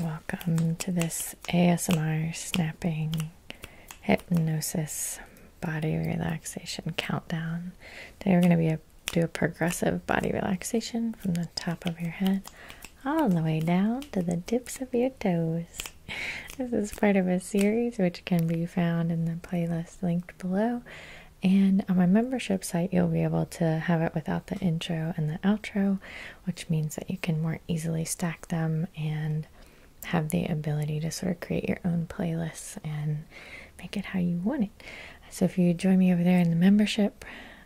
Welcome to this ASMR snapping hypnosis body relaxation countdown. Today we're going to do a progressive body relaxation from the top of your head all the way down to the tips of your toes. This is part of a series which can be found in the playlist linked below. And on my membership site, you'll be able to have it without the intro and the outro, which means that you can more easily stack them and have the ability to sort of create your own playlists and make it how you want it. So if you join me over there in the membership,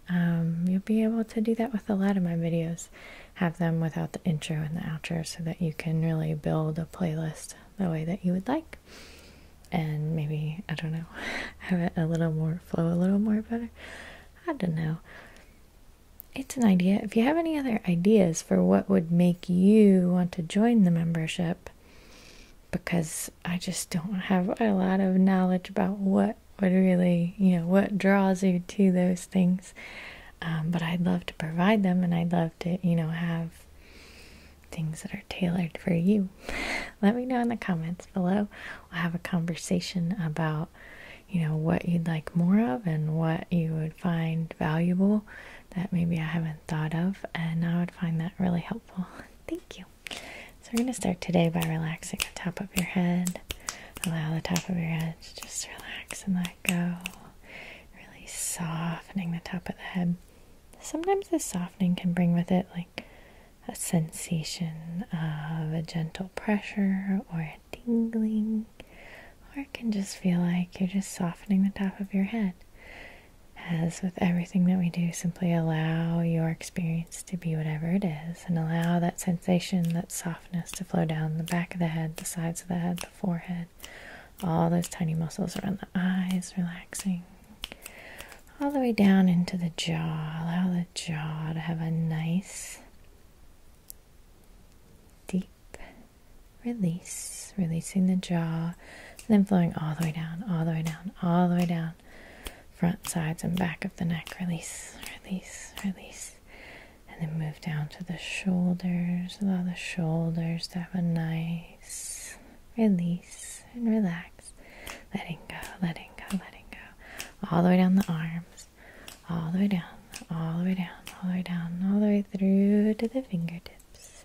um, you'll be able to do that with a lot of my videos. Have them without the intro and the outro so that you can really build a playlist the way that you would like and maybe I don't know have it a little more flow a little more better I don't know it's an idea if you have any other ideas for what would make you want to join the membership because I just don't have a lot of knowledge about what would really you know what draws you to those things um, but I'd love to provide them and I'd love to you know have things that are tailored for you. Let me know in the comments below. We'll have a conversation about, you know, what you'd like more of and what you would find valuable that maybe I haven't thought of, and I would find that really helpful. Thank you. So we're going to start today by relaxing the top of your head. Allow the top of your head to just relax and let go. Really softening the top of the head sometimes this softening can bring with it like a sensation of a gentle pressure or a tingling, or it can just feel like you're just softening the top of your head. As with everything that we do, simply allow your experience to be whatever it is and allow that sensation, that softness to flow down the back of the head, the sides of the head, the forehead, all those tiny muscles around the eyes relaxing all the way down into the jaw. Allow the jaw to have a nice, deep release, releasing the jaw, then flowing all the way down, all the way down, all the way down. Front, sides, and back of the neck. Release, release, release. And then move down to the shoulders. Allow the shoulders to have a nice, release, and relax. Letting go, letting go, letting go. All the way down the arms, all the way down, all the way down, all the way down, all the way through to the fingertips.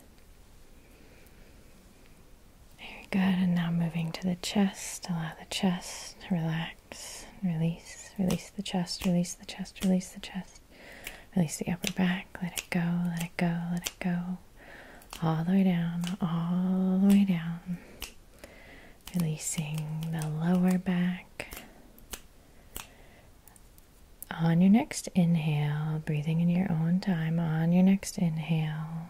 Very good. And now moving to the chest. Allow the chest to relax, release, release the chest, release the chest, release the chest. Release the upper back, let it go, let it go, let it go. All the way down, all the way down. Releasing the lower back. On your next inhale, breathing in your own time, on your next inhale,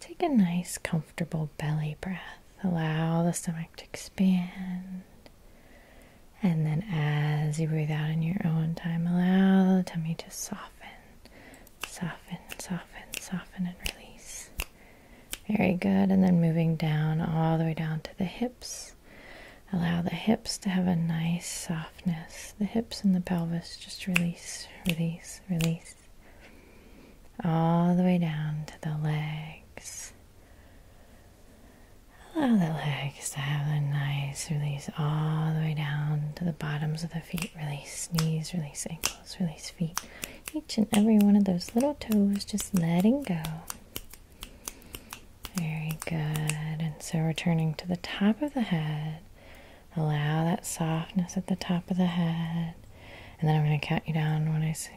take a nice, comfortable belly breath. Allow the stomach to expand. And then as you breathe out in your own time, allow the tummy to soften, soften, soften, soften, and release. Very good. And then moving down all the way down to the hips. Allow the hips to have a nice softness. The hips and the pelvis just release, release, release. All the way down to the legs. Allow the legs to have a nice release all the way down to the bottoms of the feet. Release knees, release ankles, release feet. Each and every one of those little toes just letting go. Very good. And so returning to the top of the head. Allow that softness at the top of the head. And then I'm going to count you down when I say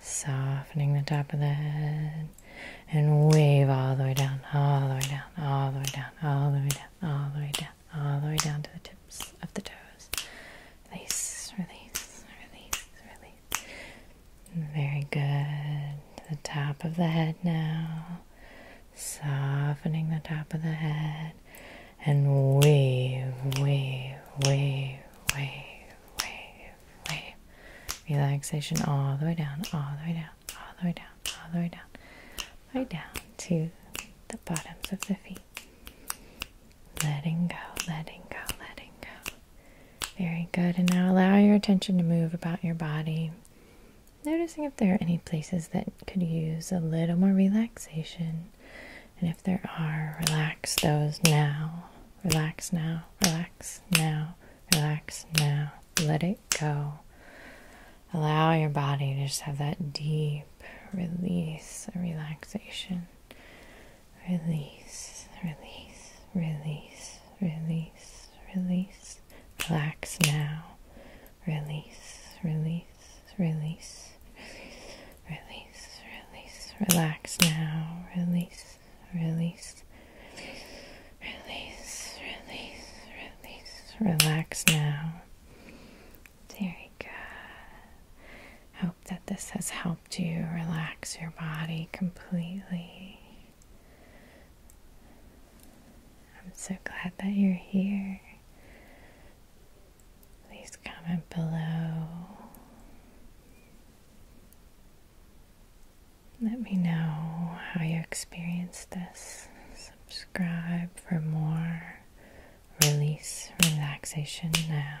Softening the top of the head and wave all the way down, all the way down, all the way down, all the way down, all the way down, all the way down, to the tips of the toes. Release, release, release, release. Very good. the top of the head now. Softening the top of the head and wave, wave, wave, wave, wave, wave. Relaxation all the way down, all the way down, all the way down, all the way down, right down to the bottoms of the feet. Letting go, letting go, letting go. Very good. And now allow your attention to move about your body. Noticing if there are any places that could use a little more relaxation. And if there are, relax those now. Relax now, relax now, relax now. Let it go. Allow your body to just have that deep release a relaxation. Release, release, release, release, release. Relax now release, release, release, release, release, relax now, release, release, release, release, release, relax now. There you go. hope that this has helped you relax your body completely. I'm so glad that you're here. Please comment below. Let me know how you experienced this. Subscribe for more release relaxation now.